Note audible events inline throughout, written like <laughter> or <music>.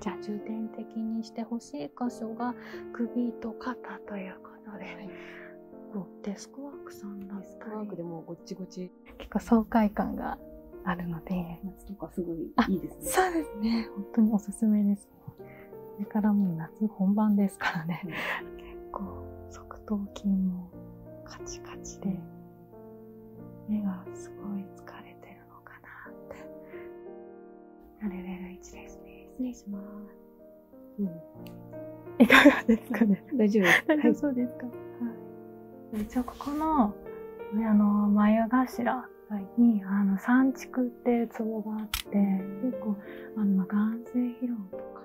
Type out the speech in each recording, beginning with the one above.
じゃあ重点的にしてほしい箇所が首と肩ということで、はデスクワークさんデスクワークでもごちごち結構爽快感があるので夏とかすごいいそうですね本当におすすめですこれからも夏本番ですからね、結構側頭筋もカチカチで目がすごい疲れてるのかなってレベルですね失礼しますうん、いかがですかね。<laughs> 大丈夫です。大丈夫ですか。はい、一応ここの、ね、の、眉頭に、はい、あの、三竹っていうツボがあって、結構、あの、眼性疲労とか、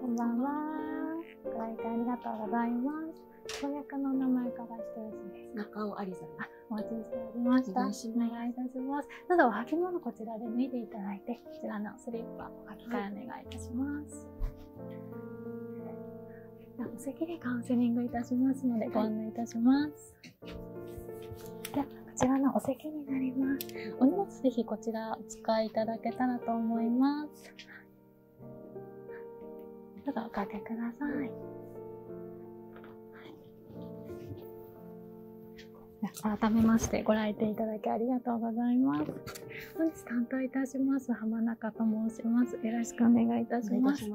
こんばんは。ご来店ありがとうございます。公約の名前からしてしです。中尾ありさお待ちしておりました。おしまお願いいたします。ただお履物こちらで脱いでいただいて、こちらのスリッパを履き替えお願いいたします。お席でカウンセリングいたしますのでご案内いたします。じゃこちらのお席になります。お荷物ぜひこちらお使いいただけたらと思います。どうぞおかけください。改めましてご来店いただきありがとうございます。担当いたします浜中と申します。よろしくお願いいたします。で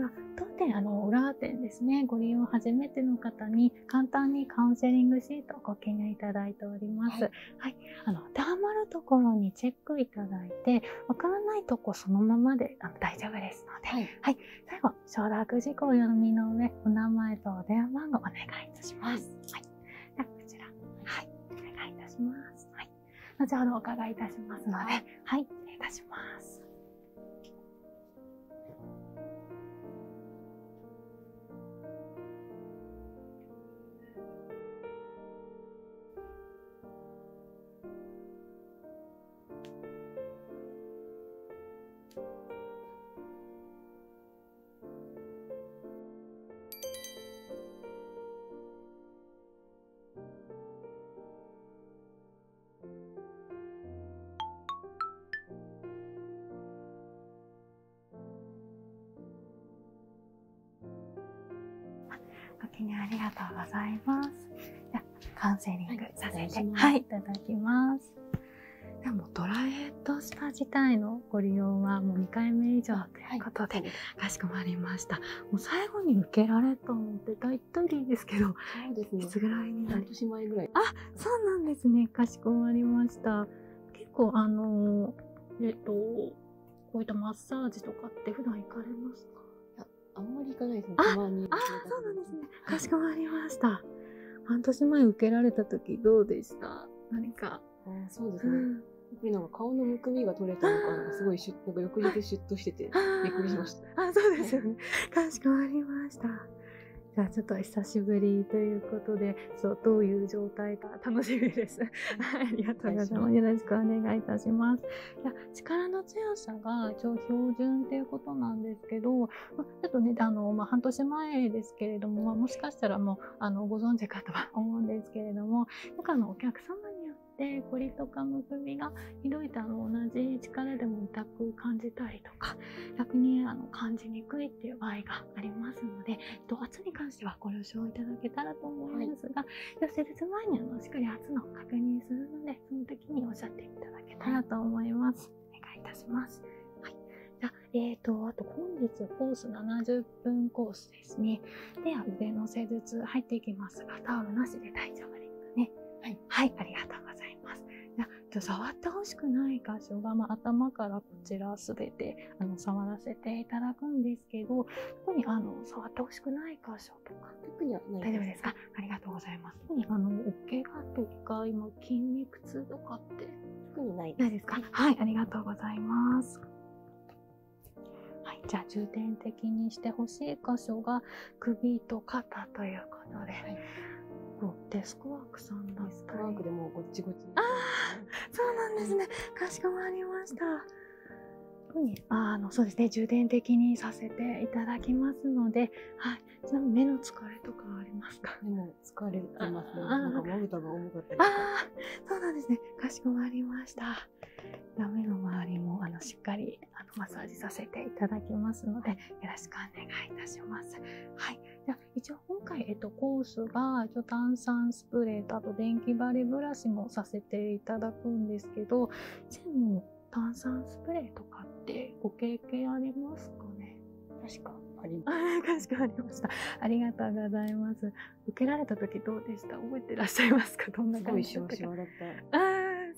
は当店あの裏店ですね。ご利用初めての方に簡単にカウンセリングシートをご記入いただいております。はい、あの当るところにチェックいただいて、わからないとこそのままで大丈夫ですので、はい、最後承諾事項読みの上、お名前と電話番号お願いいたします。はい。はい、こちら、はい、お願いいたします。はい。後ほどお伺いいたしますので、はい、失礼いたします。ありがとうございます。カウンセリングさせて、い、ただきます。でもドライヘッドスパ自体のご利用はもう2回目以上ということで、かしこまりました。もう最後に受けられたのっ大体いいですけど、そうですね。いつぐらいにな年前ぐらい。あ、そうなんですね。かしこまりました。結構あのえっとこういったマッサージとかって普段行かれますか？いや、あんまり行かないですね。たまに。そうなんですね。かしこまりました。半年前受けられた時どうでした？何か。あ、そうですね。なんか顔のむくみが取れたのか、なすごいしゅ、<laughs> なんか翌日シとしてて、びっくりしました。<laughs> あ、そうですよね。かしこまりました。じゃあちょっと久しぶりということで、そう、どういう状態か楽しみです。はい、ありがとうございます。よろしくお願いいたします。いや、力の強さが一応標準っていうことなんですけど、まあ、ちょっとね、あの、まあ、半年前ですけれども、まあ、もしかしたらもう、あの、ご存知かとは思うんですけれども、なんかあの、お客様によってって凝とかむくみがひどいとあの同じ力でも痛く感じたりとか逆にあの感じにくいっていう場合がありますので圧に関してはご了承いただけたらと思いますが、はい、施術前にあのしっかり圧の確認するのでその時におっしゃっていただけたらと思います。お願いいたします。はい、じゃえーと、あと本日コース70分コースですね。では腕の施術入っていきますが、タオルなしで大丈夫ですね。はい、ありがとうございます。じゃ触ってほしくない箇所が、ま頭からこちらすてあの触らせていただくんですけど、特にあの触ってほしくない箇所とか特にはない大丈夫ですか？ありがとうございます。特にあのお怪我とか筋肉痛とかって特にないですか？はい、ありがとうございます。はい、じゃあ重点的にしてほしい箇所が首と肩ということで、はい、デスクワークさんでもごっちごち、そうなんですね、かしこまりました、そうですね重点的にさせていただきますので、はい、ちに目の疲れとかありますか疲れてますああそうなんですねかしこまりましたじゃあ目の周りもあのしっかりあのマッサージさせていただきますのでよろしくお願いいたします。はいじゃあ一応今回、えっと、コースが一応炭酸スプレーとあと電気バレブラシもさせていただくんですけど以前も炭酸スプレーとかってご経験ありますかね確かありました。確かありました。ありがとうございます。受けられた時どうでした覚えてらっしゃいますかどんな感じでしたかれて。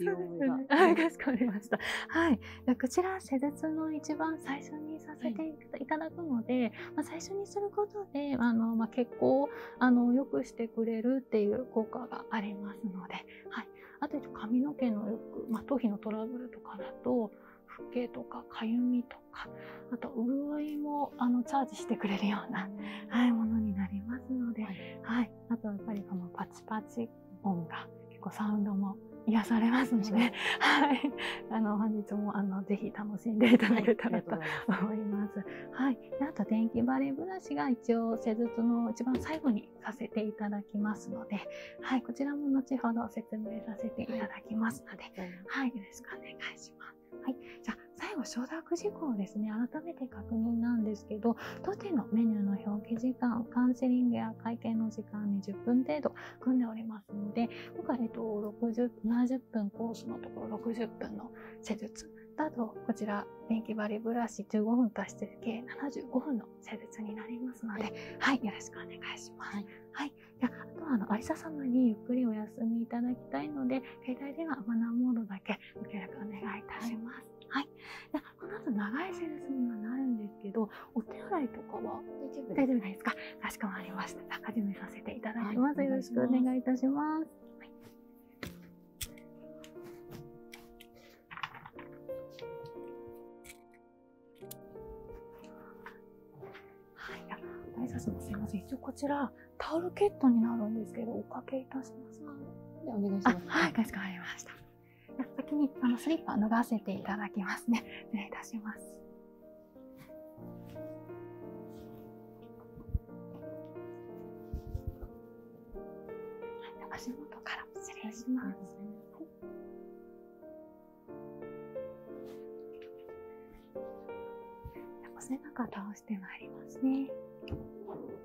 そうですね。はい、かしこまりました。はい、こちら施術の一番最初にさせていただくので、まあ最初にすることで、あのまあ血行をあの良くしてくれるっていう効果がありますので、はい。あと髪の毛のよく、まあ頭皮のトラブルとかだと。老けとかかゆみとかあと潤いもあのチャージしてくれるような、はい、ものになりますので、はい、あとやっぱりこのパチパチ音が結構サウンドも癒されますので、はい、あの本日もあのぜひ楽しんでいただけたらと思います。はい、あと電気バレーブラシが一応施術の一番最後にさせていただきますので、はい、こちらも後ほど説明させていただきますので、はい、よろしくお願いします。はい、じゃ最後承諾事項ですね改めて確認なんですけど当店のメニューの表記時間カウンセリングや会計の時間に10分程度組んでおりますので今回、えっと、60 70分コースのところ60分の施術あとこちら電気針ブラシ15分足して計75分の施術になりますので、はい、よろしくお願いします。はい、はい、ああの有沙様にゆっくりお休みいただきたいので、携帯ではマナーモードだけご協力お願いいたします。ます。はい。この後長いセルスにはなるんですけど、お手洗いとかは大丈夫ですか？かまりました。始めさせていただきます。よろしくお願いいたします。はい、はい、あ、大佐さすみません。一応こちらタオルケットになるんですけど、おかけいたしますので、お願いします。はい、かしこまりました。先にあのスリッパ脱がせていただきますね。失 <laughs> 礼いたします。はい、足元から失礼します。はい、お背中倒してまいりますね。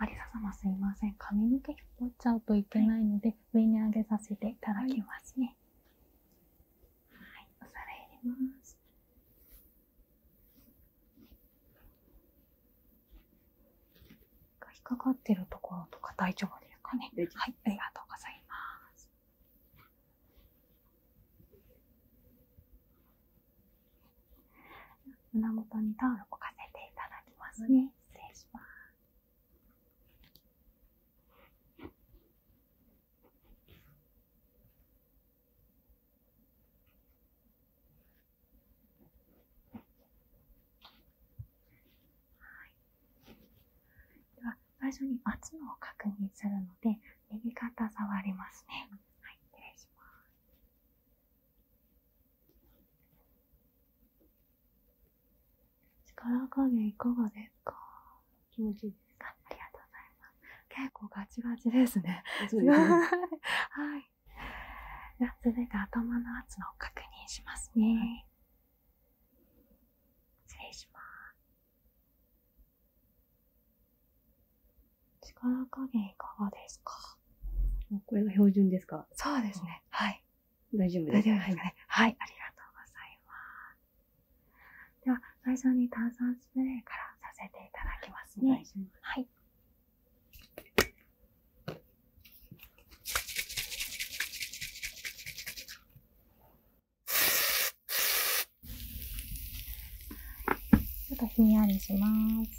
ありさ様すいません髪の毛引っ張っちゃうといけないので、上に上げさせていただきますねはい、はい、お皿入ます引っかかってるところとか大丈夫ですかねはいありがとうございます胸元にタオルを置かせていただきますね。失礼します。はい、では最初に圧の確認するので右肩触りますねはい失礼します力加減がですか気持ちいいですかありがとうございます結構ガチガチですね <laughs> はい続いて頭の圧のを確認しますね、失礼します。力加減いかがですかはい。ありがとうございます。では、最初に炭酸スプレーからさせていただきますね。ちょっとひんやりします。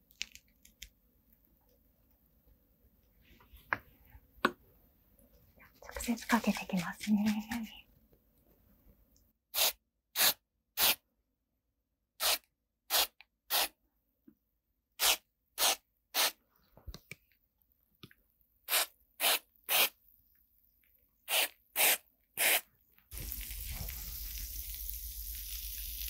直接かけてきますね。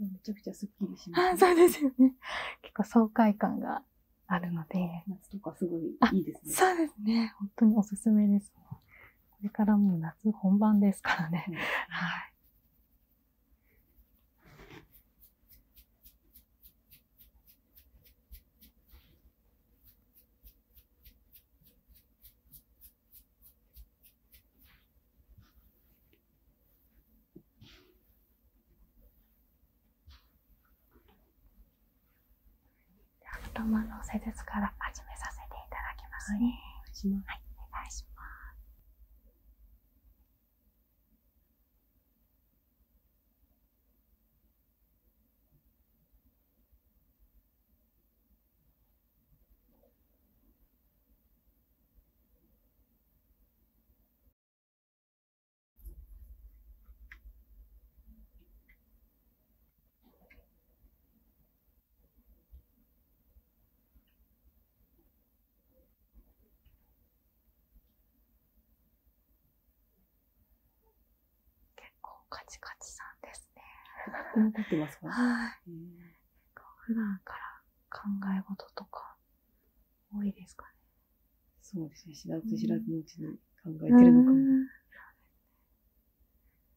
めちゃくちゃすっきりします、ね、そうですよね。結構爽快感があるので。夏とかすごいいいですね。そうですね。本当におすすめです。これからもう夏本番ですからね。はい。頭の施術から始めさせていただきますね。お願いします。結構カチカチさんですね。立ってますかはい。普段から考え事とか多いですかね。そうですね。知らず知らずのうちに考えてるのかも。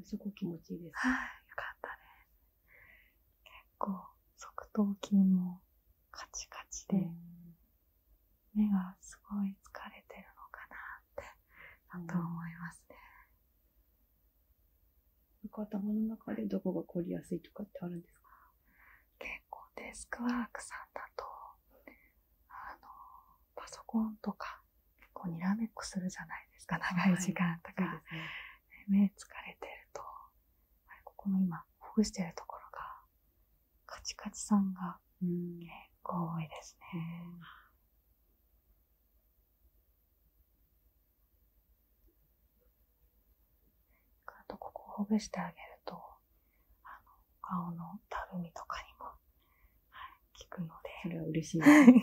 すごく気持ちいいです。はい、よかったです。結構、側頭筋もカチカチで、目がすごい疲れてるのかなって、だと思いますね。う頭の中でどこが凝りやすいとかってあるんですか結構デスクワークさんだと、あの、パソコンとか、結構にらめっこするじゃないですか、長い時間とか。目疲れてると、ここの今、ほぐしてるところが、カチカチさんが結構多いですね。あと、ここほぐしてあげると、あの顔のたるみとかにも、はい、効くので。それは嬉しい、で <laughs> ね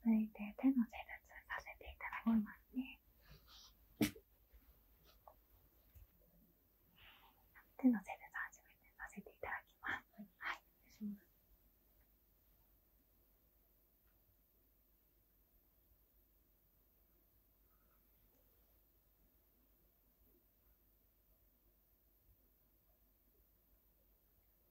続いて手の施術させていただきますね手の施術初めてさせていただきますはい、はい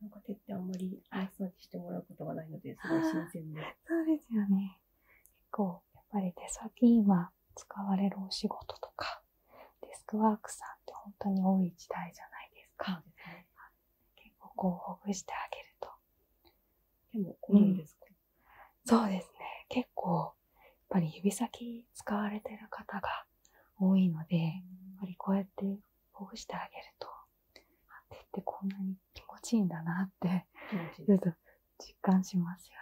なんか手ってあんまりマッサージしてもらうことがないのですごい新鮮で。そうですよね。結構やっぱり手先は使われるお仕事とかデスクワークさんって本当に多い時代じゃないですか。結構こうほぐしてあげると。でもこうですか、そうですね。結構、やっぱり指先使われてる方が多いので、やっぱりこうやってほぐしてあげると、あ、手ってこんなに気持ちいいんだなって、ちょっと実感しますよね。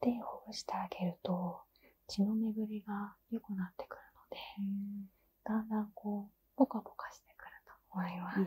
手をほぐしてあげると血の巡りが良くなってくるのでだんだんこうポカポカしてくると思います。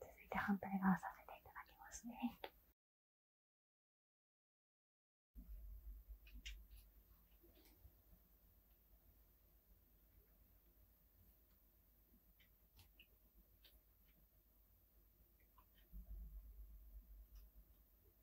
続いて反対側させていただきますね。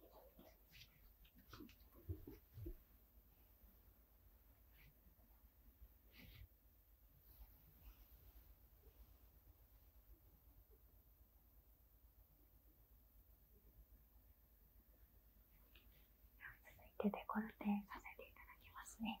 続いてデコルテさせていただきますね。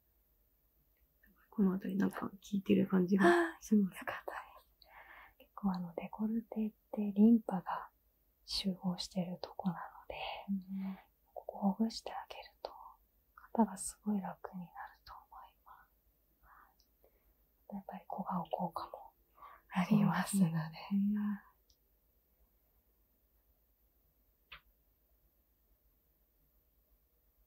この辺りなんか効いてる感じがします。よかった結構あの、デコルテってリンパが集合してるとこなので、ここほぐしてあげると、肩がすごい楽になると思います。やっぱり小顔効果もありますので。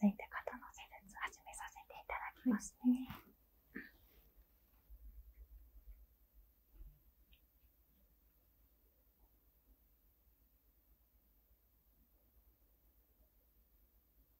続いて肩の施術始めさせていただきますね。はい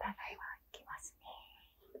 お互いきますね。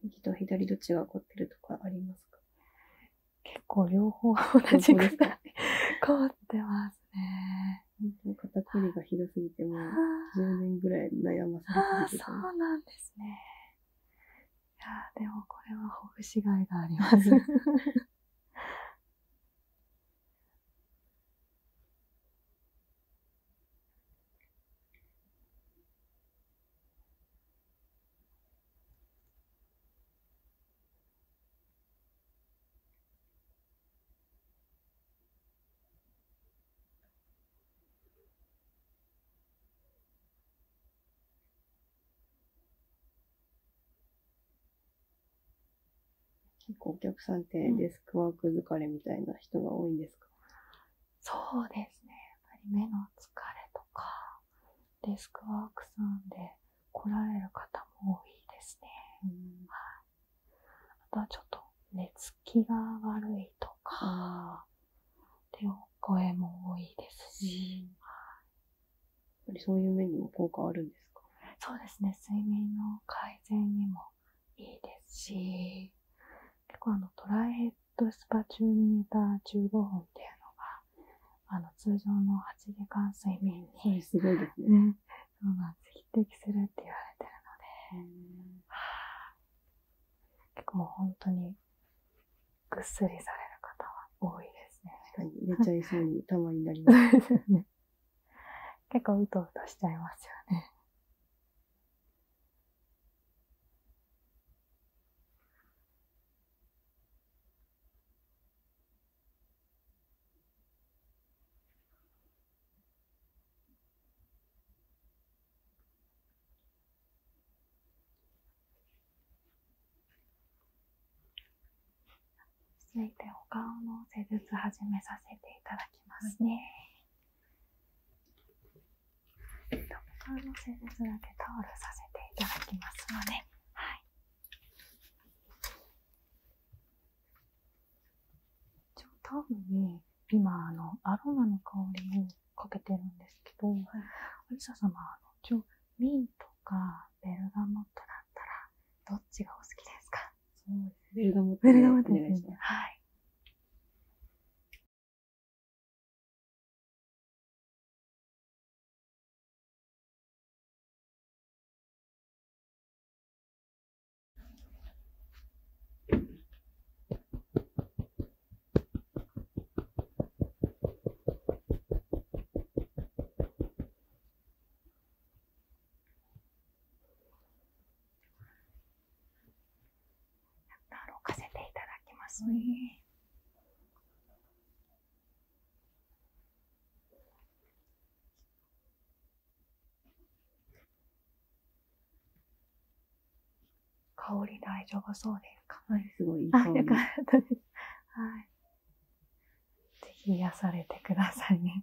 右と左どっちが起こってるとかありますか結構両方同じくらい凝 <laughs> <laughs> ってます。ますね。本当に肩こりがひどすぎて、もう10年ぐらい悩まされてた。あそうなんですね。いやでもこれはほぐしがいがあります。結構お客さんってデスクワーク疲れみたいな人が多いんですか、そうですね。やっぱり目の疲れとか、デスクワークさんで来られる方も多いですね。うん、はい。あとはちょっと寝つきが悪いとか、っていう声も多いですし、そういう面にも効果あるんですかそうですね、睡眠の改善にもいいですし、結構あのトライヘッドスパ中に寝た15分っていうのが、あの通常の8時間睡眠に、すごいですね。そうなんです。匹敵するって言われてるので、結構もう本当にぐっすりされる方は多いですね。確かに、寝ちゃいそうにたまになります。よね。結構うとうとしちゃいますよね。続いてお顔の施術始めさせていただきますね、はい、お顔の施術だけタオルさせていただきますので、はいじゃあタオルに今あのアロマの香りをかけてるんですけど、はい、ア様あの一応ミントかベルガモットだったらどっちがお好きですかそうですベベルガモットですねはいかせていただきますね。香り大丈夫そうですかはい、すごいいいりす。はい。ぜひ癒されてくださいね。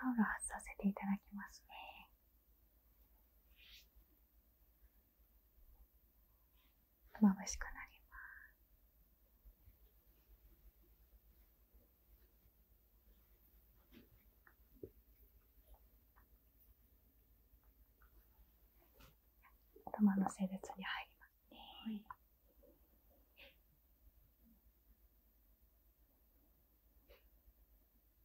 タオル外させていただきますね。眩しくなります。頭の性別に入りますね。はい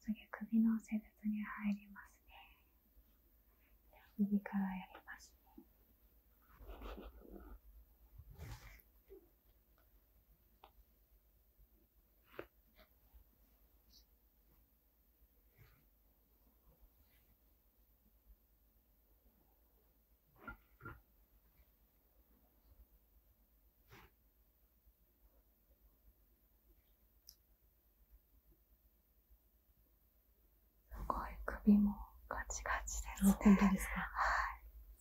次、首の施術に入りますね。右からやりますね。すごい首もガチガチですね。本ですか。は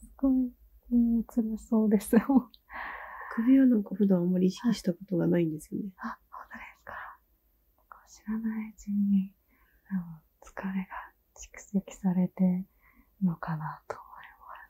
い。すごい、もう辛そうです。<laughs> 首はなんか普段あんまり意識したことがないんですよね。あ、本当ですか。知らないうちに、疲れが蓄積されてるのかなと思います。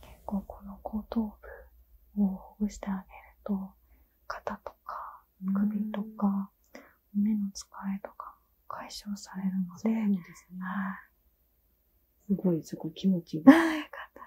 結構この後頭部をほぐしてあげると肩とか首とか目の疲れとか解消されるので、ね、はい、すごい、すごい気持ちいい。ああ、よかったね。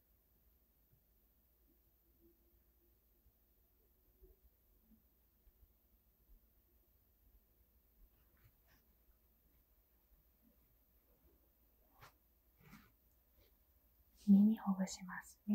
耳ほぐしますね。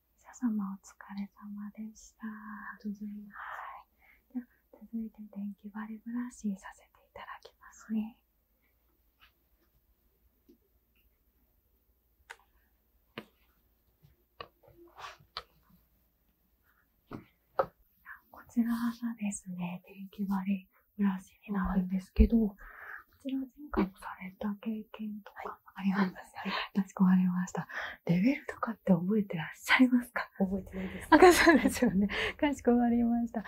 シャ様お疲れ様でした。続いて電気バリブラシさせていただきますね。こちらがですね、電気バりブラシになるんですけど、こちら前回もされた経験とかあります。かしこまりました。レベルとかって覚えてらっしゃいますか覚えてないです。赤さんですよね。かしこまりました。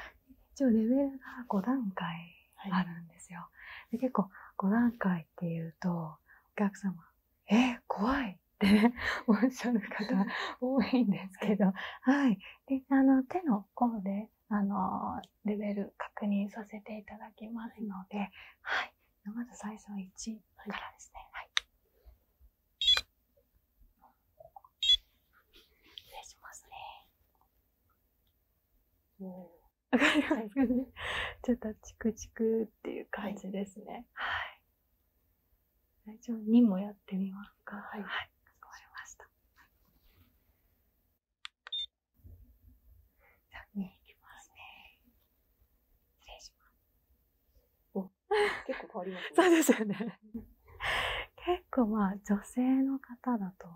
一応レベルが5段階あるんですよ。結構5段階っていうと、お客様、えー、怖いってね、<laughs> おっしゃる方 <laughs> 多いんですけど、はい。で、あの、手の甲で、あの、レベル確認させていただきますので、はい。まず最初は1からですね。はい。失礼しますね。おわかりますか <laughs> ちょっとチクチクっていう感じですね。はい。大丈夫。2もやってみますか。はい。かしこまりました。じゃあ2いきますね。失礼します結構変わります、ね、<laughs> そうですよね結構まあ女性の方だと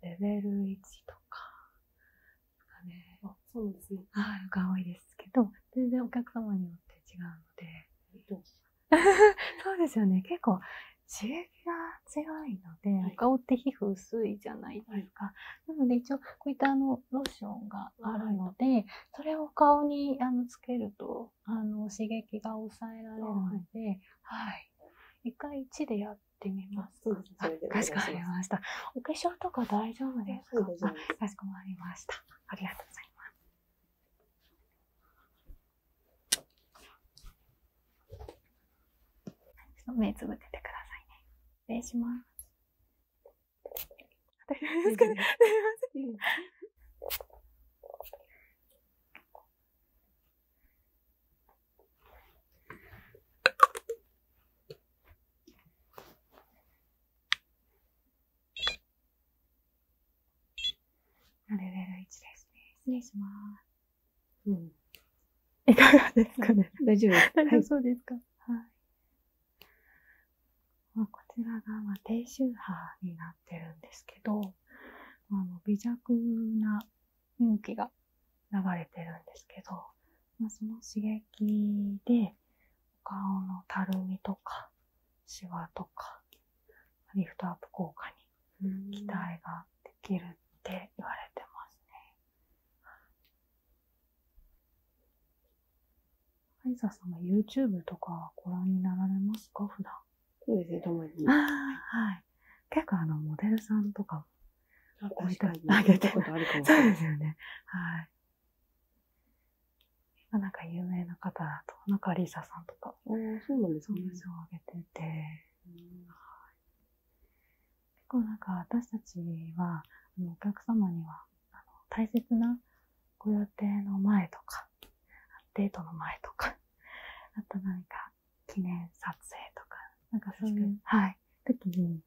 レベル1とかかねあそうですねあるが多いですけど全然お客様によって違うので <laughs> そうですよね結構刺激が強いので、はい、お顔って皮膚薄いじゃないですか、なので一応こういったあのローションがあるので、それを顔にあのつけるとあの刺激が抑えられるので、はい。一回1でやってみますか。かしこまりました。お化粧とか大丈夫ですかかしこまりました。ありがとうございます。目つぶっててくださいね。失礼します。私ですかね。すみません。レベル1ですね。失礼します。うん。いかがですかね。大丈夫。大 <laughs> そうですか。はい。こちらが低周波になってるんですけど、微弱な雰囲気が流れてるんですけど、その刺激でお顔のたるみとかシワとかリフトアップ効果に期待ができるって言われてますね。ハイザーさんは YouTube とかご覧になられますか普段。そうはい。結構あの、モデルさんとかも置いげてる。そうですよね。はい。今なんか有名な方だと、なんかリサさそうなんです結構なんか私たちは、お客様にはあの大切なご予定の前とか、デートの前とか、あと何か記念撮影とか、なんかそういう、はい、時に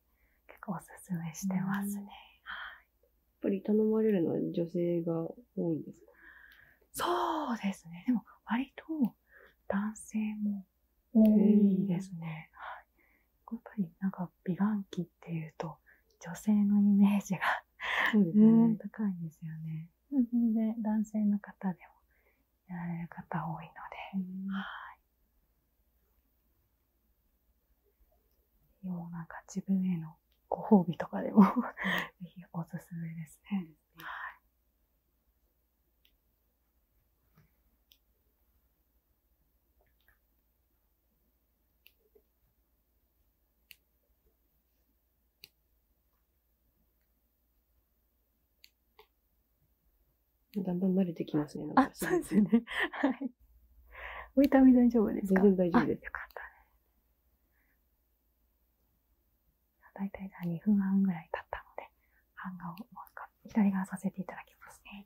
結構おすすめしてますね。はい。やっぱり頼まれるのは女性が多いですそうですね。でも割と男性も多いですね。やっぱりなんか美顔器っていうと女性のイメージがそうですね、ね高いんですよね。男性の方でもやられる方多いので、はいもうなんか自分へのご褒美とかでもぜひおすすめですね。はいだんだん慣れてきますね。はい。大丈夫です大丈夫です。よかっただいたい2分半ぐらい経ったので、版画をもう一回左側させていただきますね。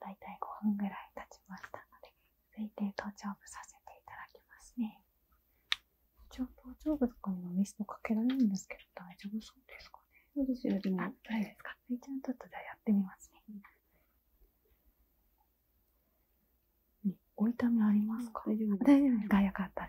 大体5分ぐらい経ちましたので推定頭頂部させていただきますね一応頭頂部とかにはミストかけられるんですけど大丈夫そうですかね大丈夫ですか一応ちょっとじやってみますね、うん、お痛みありますか大丈夫大丈夫ですかったで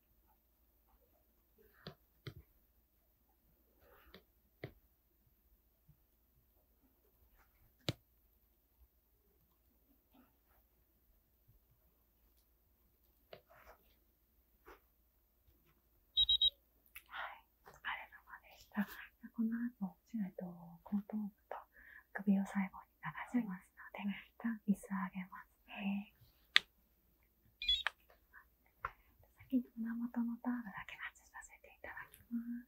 この後、しないと後頭部と首を最後に流しますので、椅子水あげますね。先に胸元のタオルだけ外させていただきます。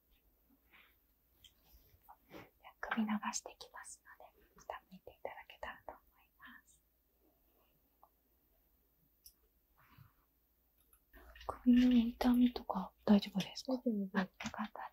首伸ばしてきますので、下向いていただけたらと思います。首の痛みとか大丈夫ですか？よかったです。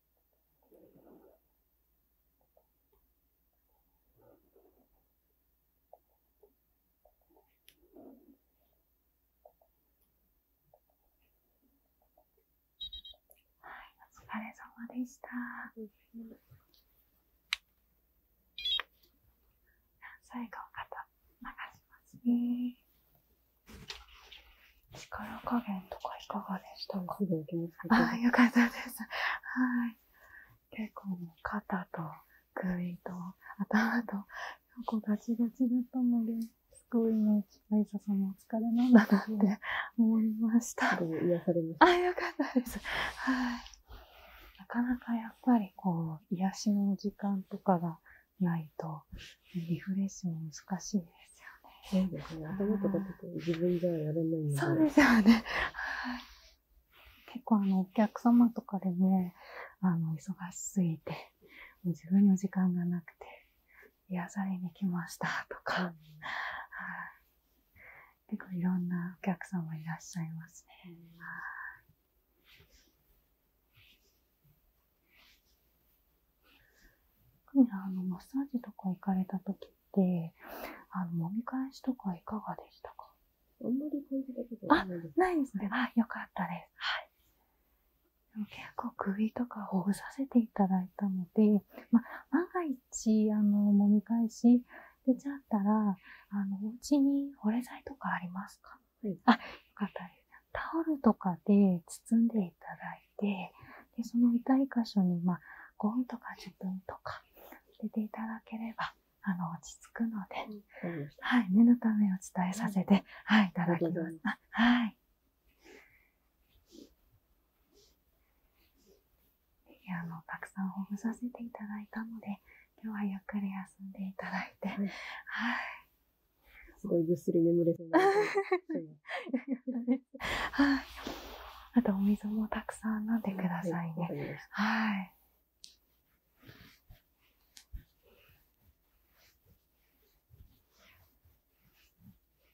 お疲れ様でした。何歳かを肩流しますね。力加減とかいかがでしたかあよかったです。はい。結構、肩と首と頭と、こうガチガチだったので、すごいね、ライサさんもお疲れなんだなって思いました。あ、よかったです。はい。なかなかやっぱりこう、癒しの時間とかがないと、リフレッシュも難しいです。そうですよね。結構お客様とかでね、忙しすぎて、自分の時間がなくて、癒されに来ましたとか、結構いろんなお客様いらっしゃいますね。うんあのマッサージとか行かれた時ってあの揉み返しとかいかがでしたかあないです。あ、よかったです。はい。結構首とかほぐさせていただいたので、ま、万が一、あの、揉み返し出ちゃったら、あの、お家に保冷剤とかありますかあ、よかったタオルとかで包んでいただいでその痛い箇所に、まあ、5分とか1分とか出ていただければあの落ち着くので、はい、念のためお伝えさせて、はい、いただきます。はいあのたくさんほぐさせていただいたので今日はゆっくり休んでいただいて、はい、すごいぐっすり眠れそうな <laughs> はい。あとお水もたくさん飲んでくださいね。はい。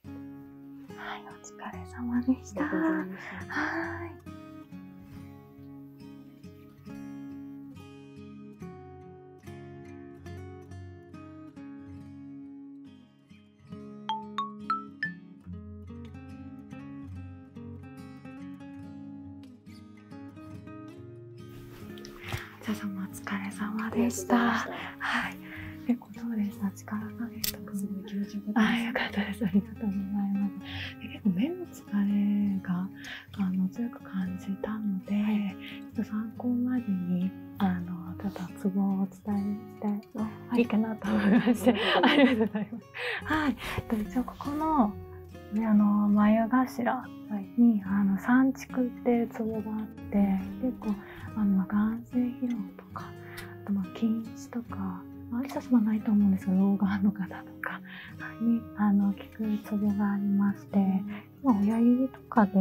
はい、お疲れ様でした。いしたはい。お疲れ様でした。はい。結構そうでした。力加減い気持ちよかったです。かったです。ありがとうございます。で結構目の疲れがあの強く感じたので、はい、参考までにあのただツボをお伝えしたい、いいかなと思いましありがとうございます。はい、一応ここの、ね、あの眉頭に、はい、あの三竹っていうツボがあって、結構あの眼性疲労とか、あとまあ筋弛とか。ありさしはないと思うんですけど、老眼の方とかに、あの、効くツボがありまして、今親指とかで、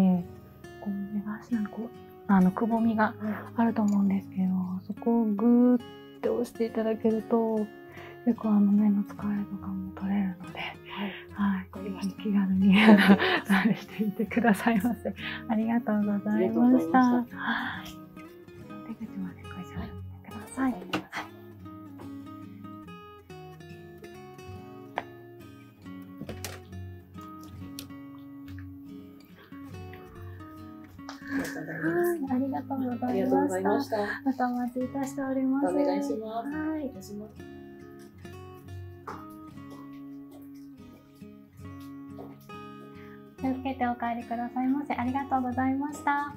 こう、目頭にこう、あのくぼみがあると思うんですけど、そこをグーって押していただけると結構あの目の疲れとかも取れるので、はい、はい、気軽に試してみてくださいませ。ありがとうございました。はい、出口までご一緒ください。はいありがとうございました。またお待ちいたしております。はい。気をつけてお帰りくださいませ。ありがとうございました。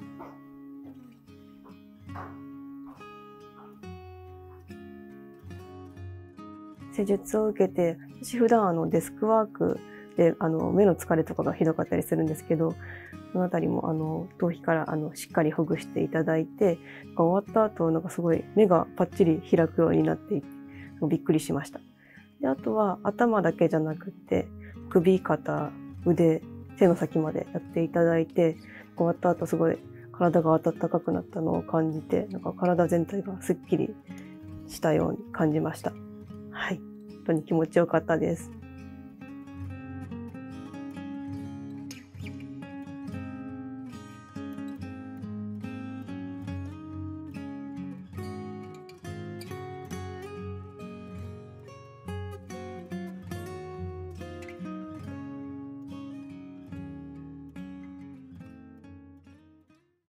施術を受けて私普段あデスクワークで目の疲れとかがひどかったりするんですけどその辺りも頭皮からしっかりほぐしていただいて終わったあと、すごい目がぱっちり開くようになってびっくりしましたあとは頭だけじゃなくて首肩腕手の先までやっていただいて終わったあと、すごい体が温かくなったのを感じてなか体全体がすっきりしたように感じました。はい。本当に気持ちよかったです。